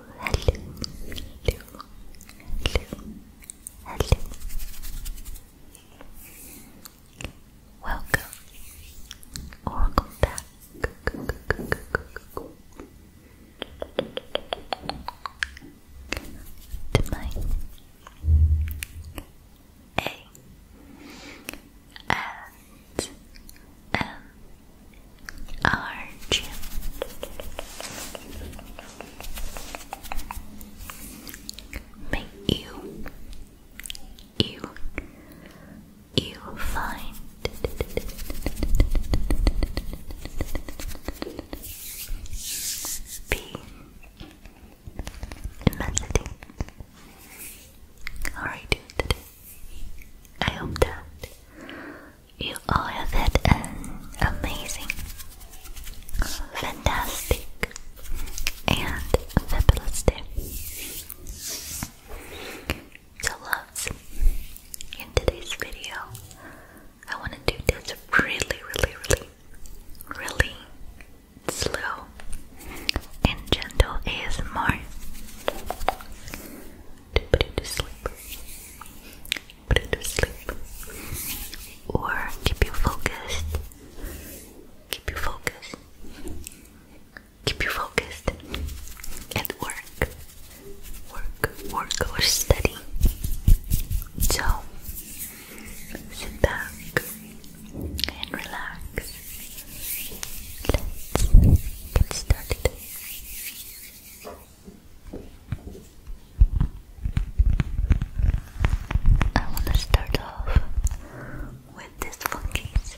hello, hello, hello, hello. Welcome welcome back. To my A and M Arch. May you, you, you find be immensity. Alright, I hope that you all have had an amazing, fantastic, and fabulous day. So, loves, in today's video, I want to do this really, really, really, really slow and gentle ASMR to put you to sleep put you to sleep or keep you focused. Keep you focused. Keep you focused at work. Work, work or study. So sit back and relax. Let's get started. I want to start off with this funkies.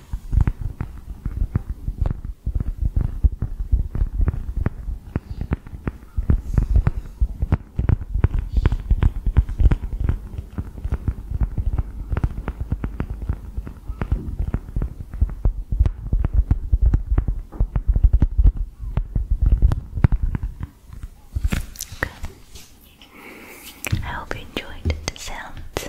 Okay. I hope you enjoyed the sounds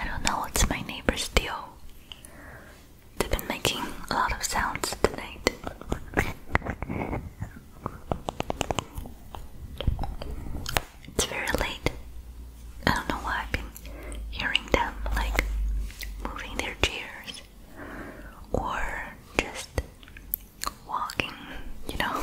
I don't know what's my neighbor's deal. They've been making a lot of sounds tonight. It's very late. I don't know why I've been hearing them like moving their chairs or just walking, you know.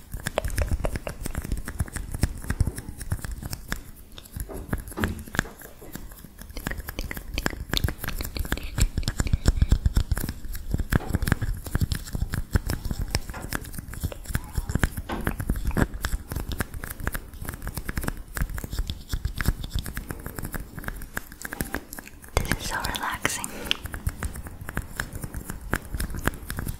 This is so relaxing.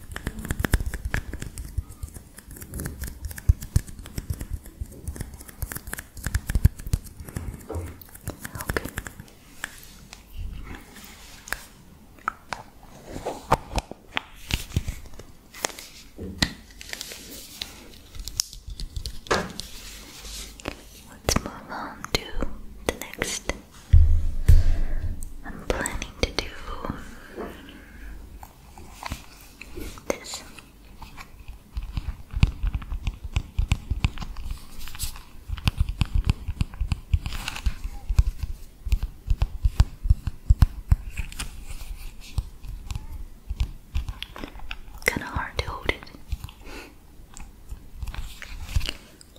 Let's move on to the next I'm planning to do this. Kinda hard to hold it.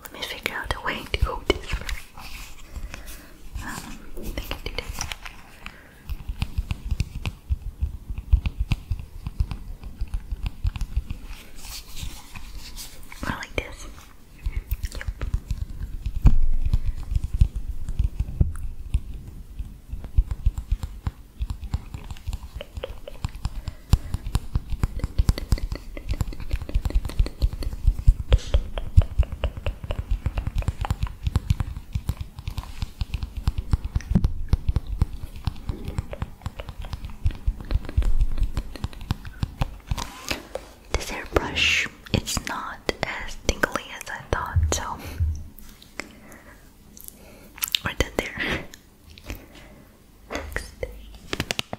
Let me figure out a way to hold this for Um, think I do this. like this. Yep. This airbrush it's not as tingly as I thought, so we're done there. Next.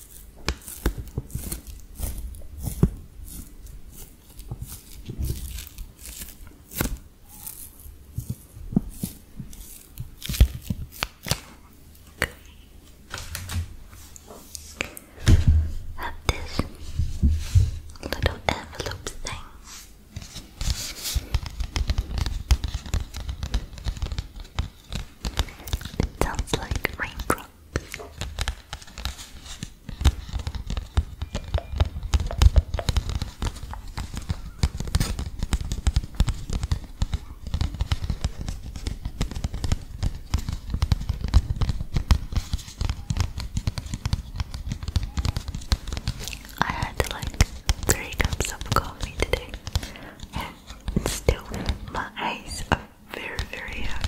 Have this little envelope thing. It sounds like raindrops. I had like three cups of coffee today, and still my eyes are very very heavy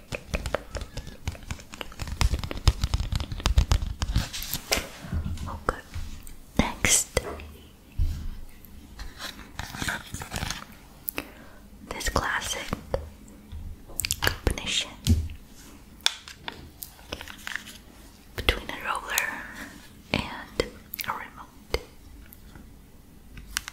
Okay. Oh, Next. This classic combination between a roller and a remote.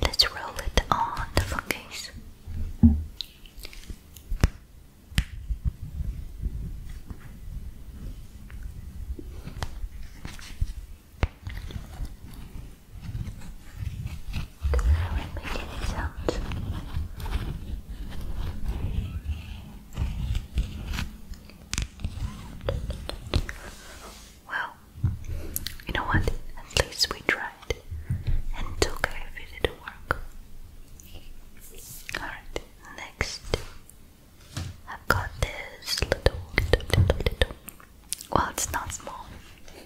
Let's roll it on the phone case because I like making it sounds. Well, you know what? At least we tried and took our video to work. Alright, next I've got this little, little, not small.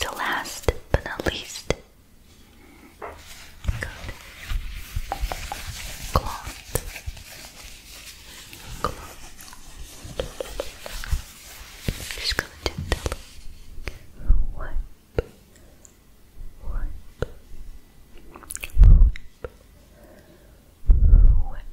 So last but not least, good cloth close. Just gonna gently wipe, wipe, wipe, wipe. Wipe, wipe, wipe,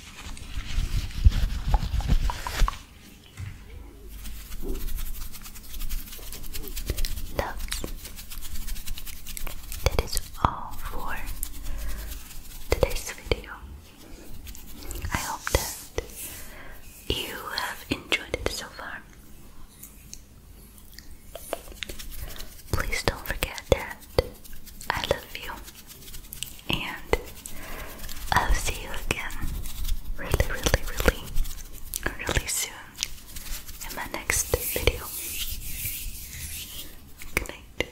Love, that is all for today's video. I hope that you have enjoyed it so far. Please don't forget that I love you and I'll see you again really, really, really, really soon in my next video. Good night.